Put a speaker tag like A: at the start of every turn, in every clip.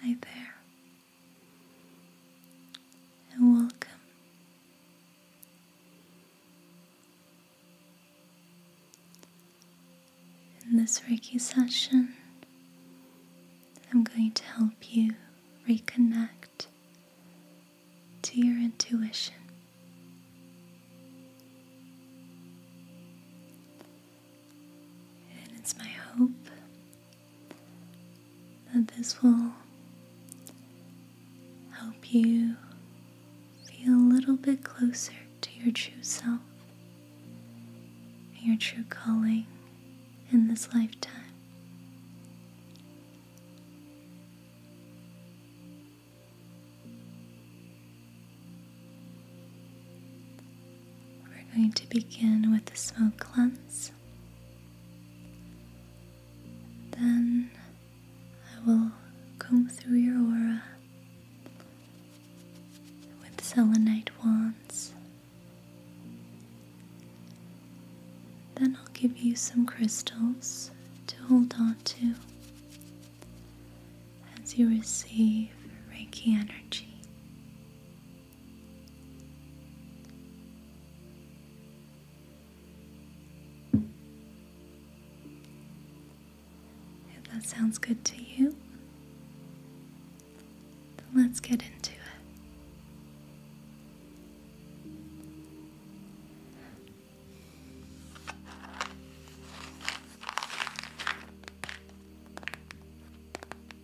A: Hi there, and welcome. In this Reiki session, I'm going to help you reconnect to your intuition. And it's my hope that this will help you feel a little bit closer to your true self and your true calling in this lifetime. We're going to begin with the smoke cleanse. Then I will comb through your aura with selenite wands. Then I'll give you some crystals to hold on to as you receive Reiki energy. If that sounds good to you, let's get into it.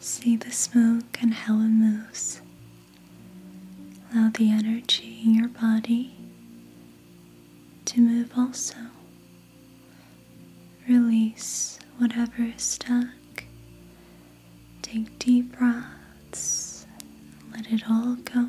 A: See the smoke and how it moves. Allow the energy in your body to move also. Release whatever is stuck. Take deep breaths. Let it all go.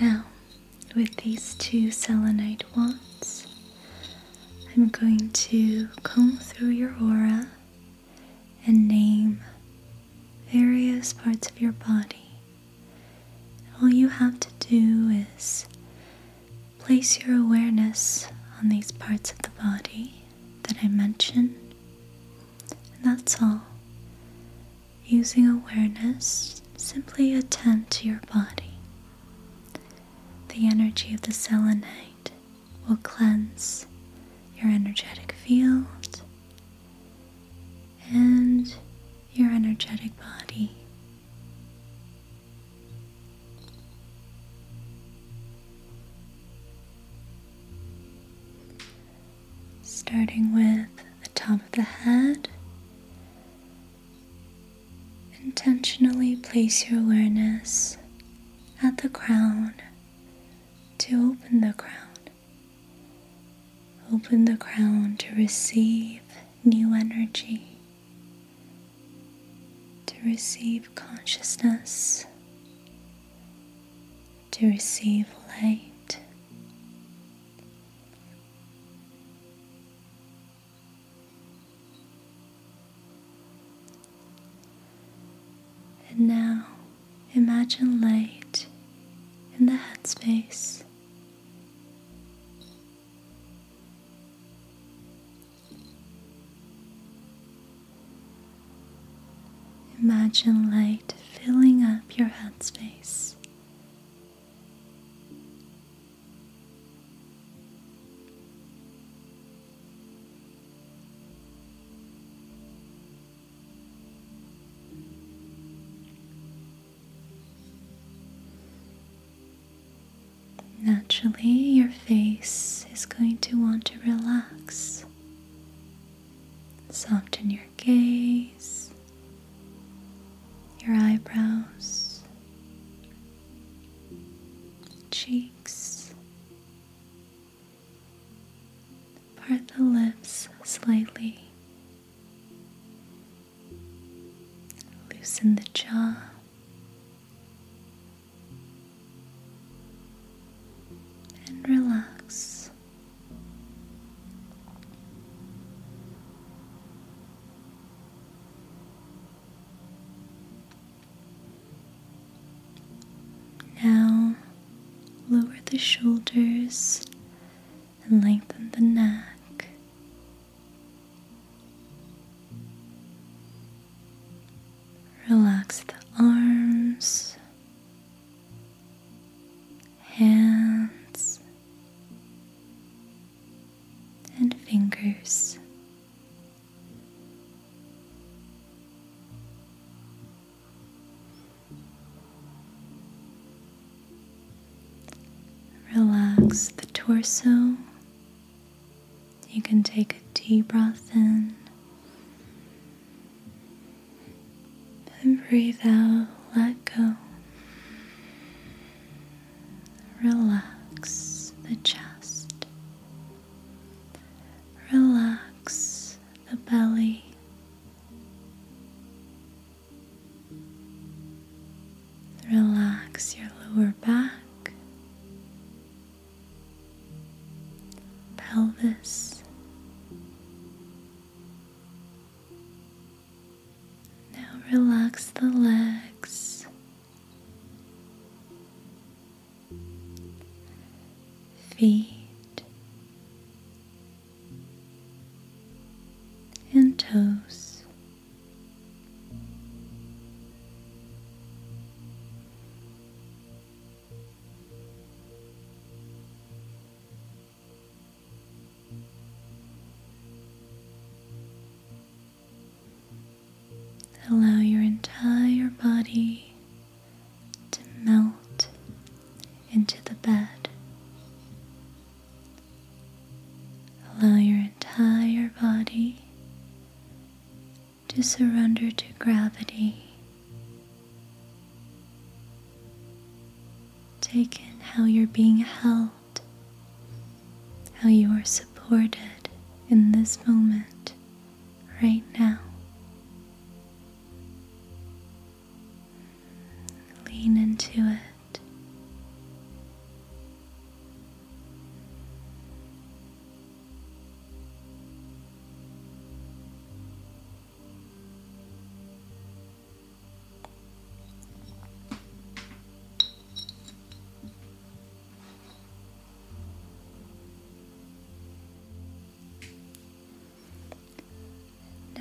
A: Now, with these two selenite wands, I'm going to comb through your aura and name various parts of your body all you have to do is place your awareness on these parts of the body that I mentioned, and that's all. Using awareness, simply attend to your body. The energy of the selenite will cleanse your energetic field and your energetic body. Starting with the top of the head, intentionally place your awareness at the crown to open the crown. Open the crown to receive new energy, to receive consciousness, to receive light. And now imagine light in the headspace Imagine light filling up your headspace. Naturally, your face is going to want to relax. Soften your gaze, your eyebrows, cheeks. Part the lips slightly Loosen the jaw. And relax. Now lower the shoulders and lengthen the neck. Relax the arms, hands, and fingers. Relax the torso. You can take a deep breath in and breathe out, let go. Relax the chest, relax the belly, Relax your lower back, pelvis. Now relax the legs. Feet, and toes. Allow your entire body to melt into the bed. Allow your entire body to surrender to gravity. Take in how you're being held, how you are supported in this moment, right now. Lean into it.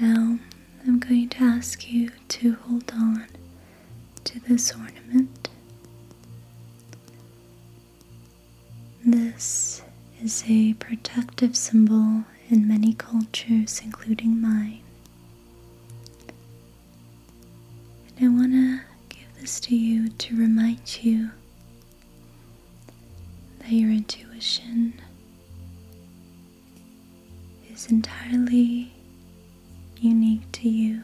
A: Now I'm going to ask you to hold on to this ornament. This is a protective symbol in many cultures, including mine. And I want to give this to you to remind you that your intuition is entirely unique to you.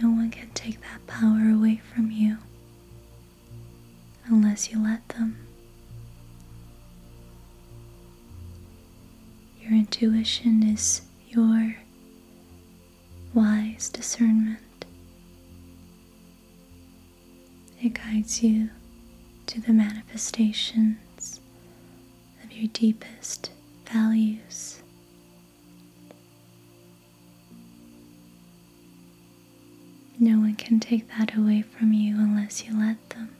A: No one can take that power away from you unless you let them. Your intuition is your wise discernment. It guides you to the manifestations of your deepest values. No one can take that away from you unless you let them.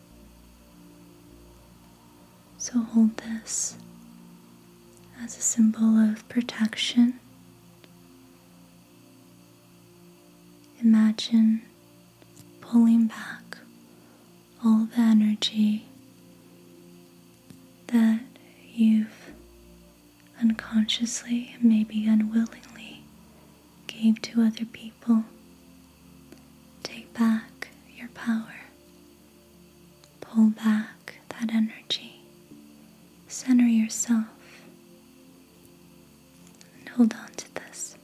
A: So hold this as a symbol of protection Imagine pulling back all the energy that you've unconsciously and maybe unwillingly gave to other people. Take back your power. Pull back that energy. Center yourself and hold on to this.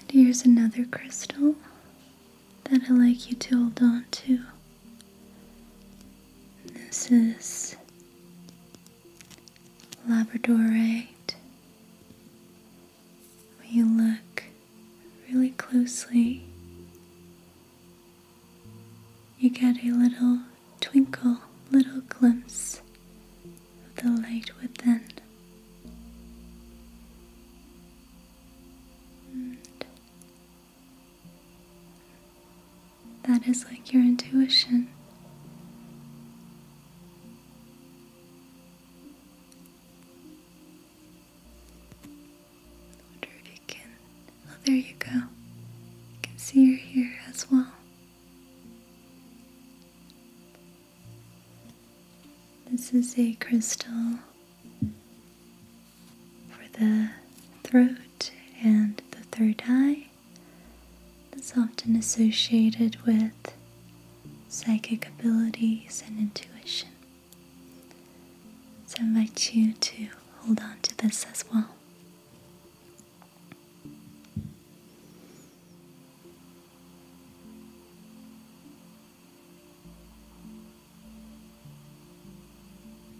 A: And here's another crystal that I like you to hold on to. This is Labradorite, when you look really closely, you get a little twinkle, little glimpse of the light within. That is like your intuition. I wonder if you can. Oh, there you go. You can see you're here as well. This is a crystal for the throat and the third eye that's often associated with psychic abilities and intuition. So I invite you to hold on to this as well.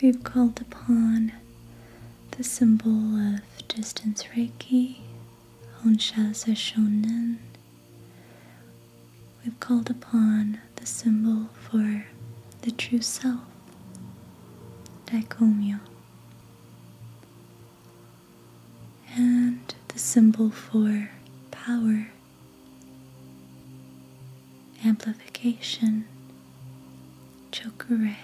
A: We've called upon the symbol of distance Reiki, Honsha Shonen. We've called upon the symbol for the true self, Daikomyo and the symbol for power, amplification, chokure.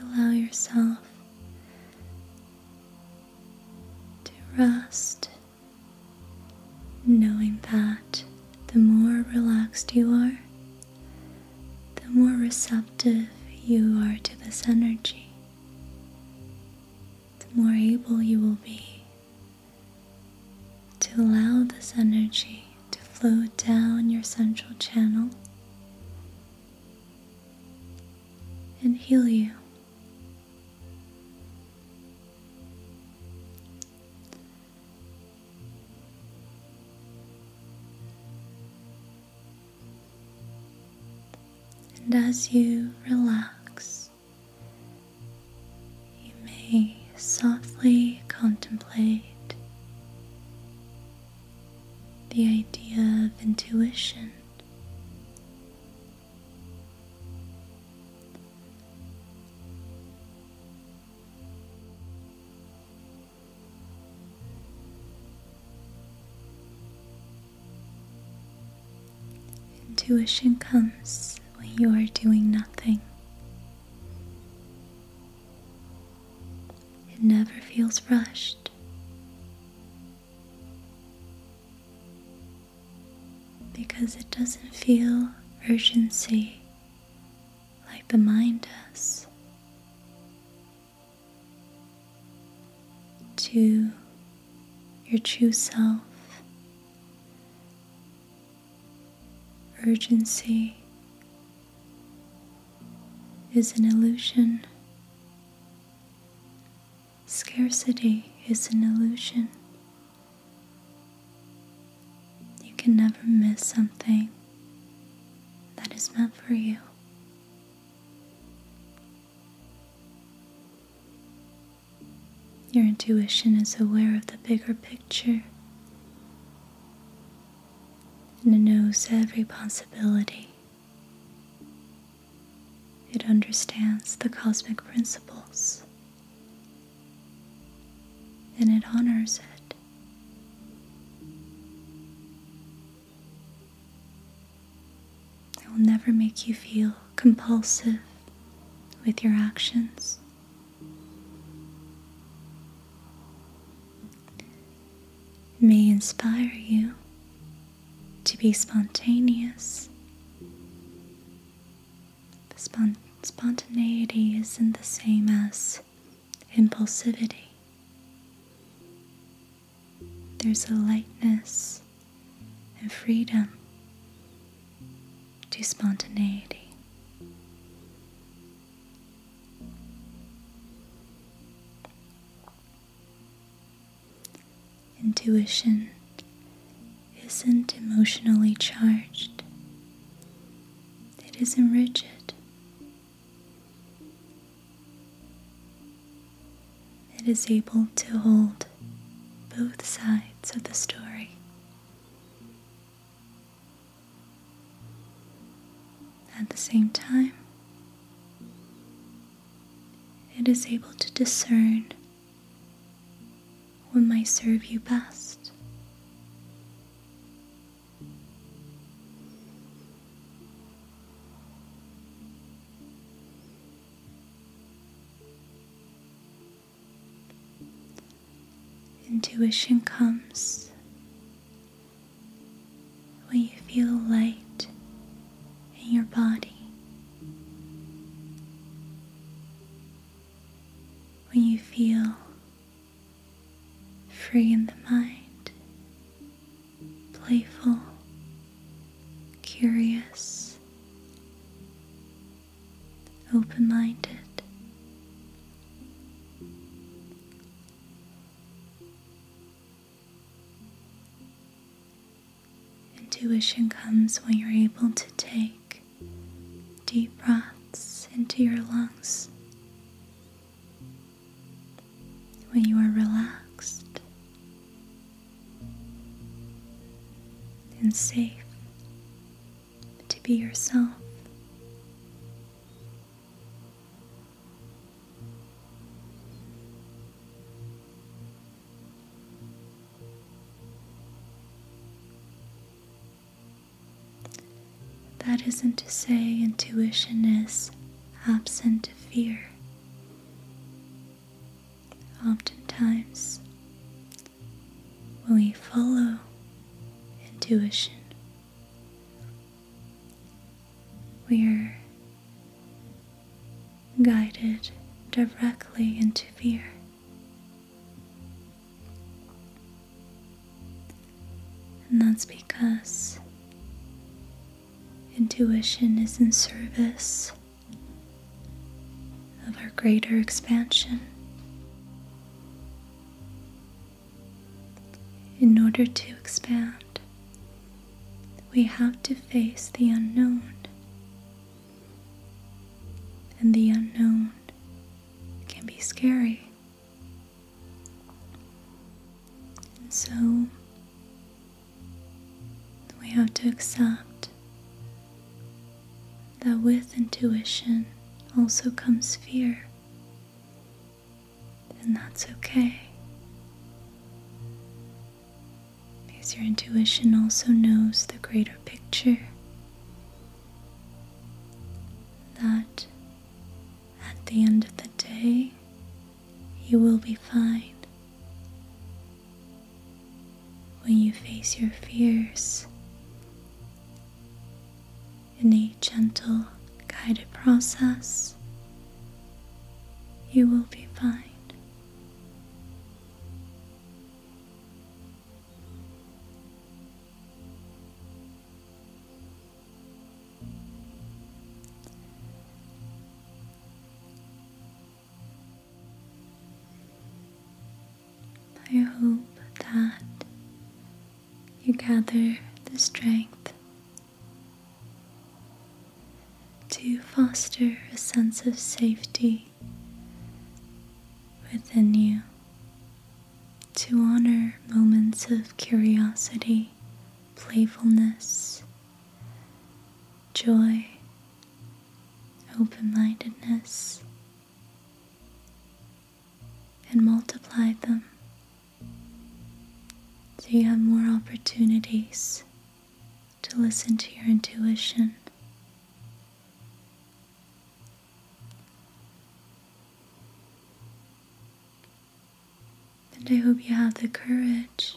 A: Allow yourself to rest, knowing that the more relaxed you are, the more receptive you are to this energy, the more able you will be to allow this energy to flow down your central channel and heal you. And as you relax, you may softly contemplate the idea of intuition. Intuition comes when you are doing nothing. It never feels rushed. Because it doesn't feel urgency like the mind does. To your true self, urgency is an illusion. Scarcity is an illusion. You can never miss something that is meant for you. Your intuition is aware of the bigger picture and knows every possibility. It understands the cosmic principles and it honors it. It will never make you feel compulsive with your actions may inspire you to be spontaneous. spontaneity isn't the same as impulsivity. There's a lightness and freedom to spontaneity. Intuition isn't emotionally charged, it isn't rigid, it is able to hold both sides of the story. At the same time, it is able to discern what might serve you best. Intuition comes when you feel light in your body? when you feel free in the mind, playful, curious, open minded? Intuition comes when you're able to take deep breaths into your lungs. When you are relaxed and safe to be yourself. That isn't to say intuition is absent of fear. Oftentimes, when we follow intuition we're guided directly into fear. And that's because intuition is in service of our greater expansion. In order to expand, we have to face the unknown, and the unknown can be scary. And so, we have to accept that with intuition also comes fear then that's okay. Because your intuition also knows the greater picture that at the end of the day you will be fine. When you face your fears, in a gentle, guided process, you will be fine. I hope that you gather the strength to foster a sense of safety within you, to honor moments of curiosity, playfulness, joy, open mindedness and multiply them. So you have more opportunities to listen to your intuition. And I hope you have the courage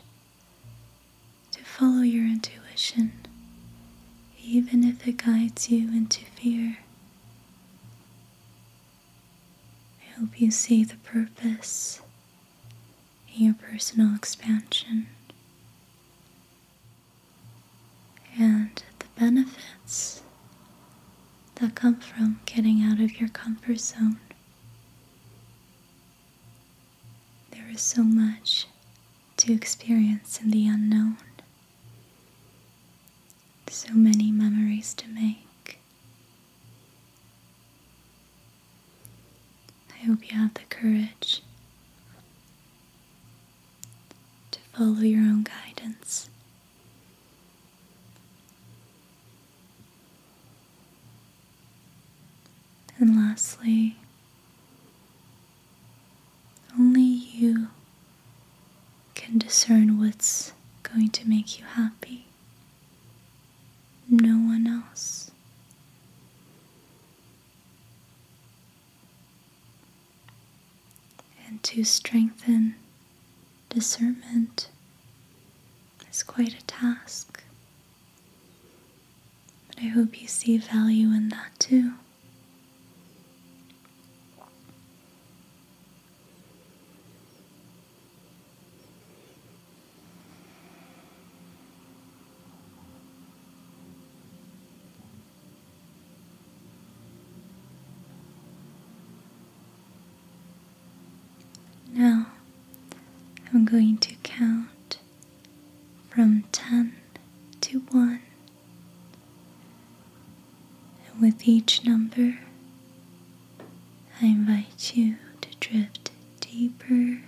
A: to follow your intuition, even if it guides you into fear. I hope you see the purpose in your personal expansion and the benefits that come from getting out of your comfort zone. There is so much to experience in the unknown. So many memories to make. I hope you have the courage to follow your own guidance. And lastly, only you can discern what's going to make you happy. No one else. And to strengthen discernment is quite a task. But I hope you see value in that too. Now I'm going to count from 10 to 1. And with each number, I invite you to drift deeper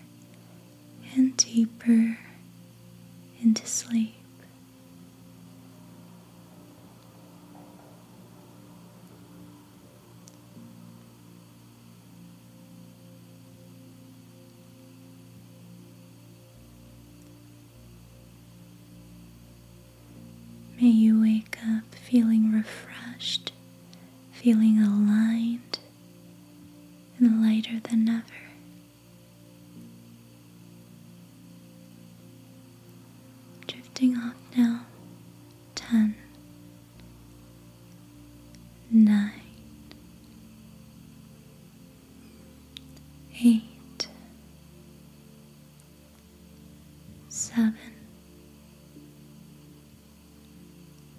A: and deeper into sleep. May you wake up feeling refreshed, feeling aligned, and lighter than ever. Drifting off now. Ten. Nine. nine, eight, seven,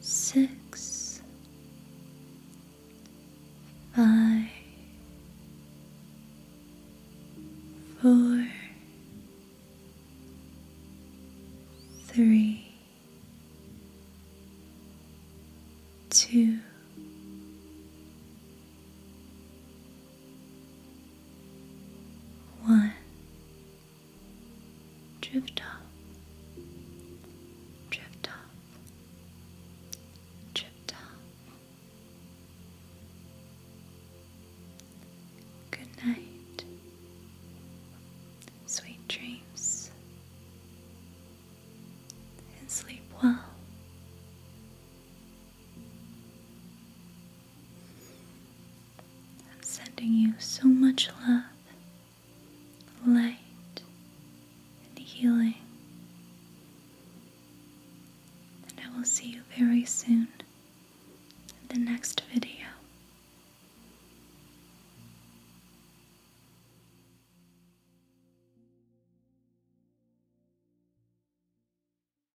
A: six, five, four, three, two, one, drift off, drift off, drift off. Good night, sweet dreams, and sleep well. I'm sending you so much love, light, and healing. And I will see you very soon in the next video.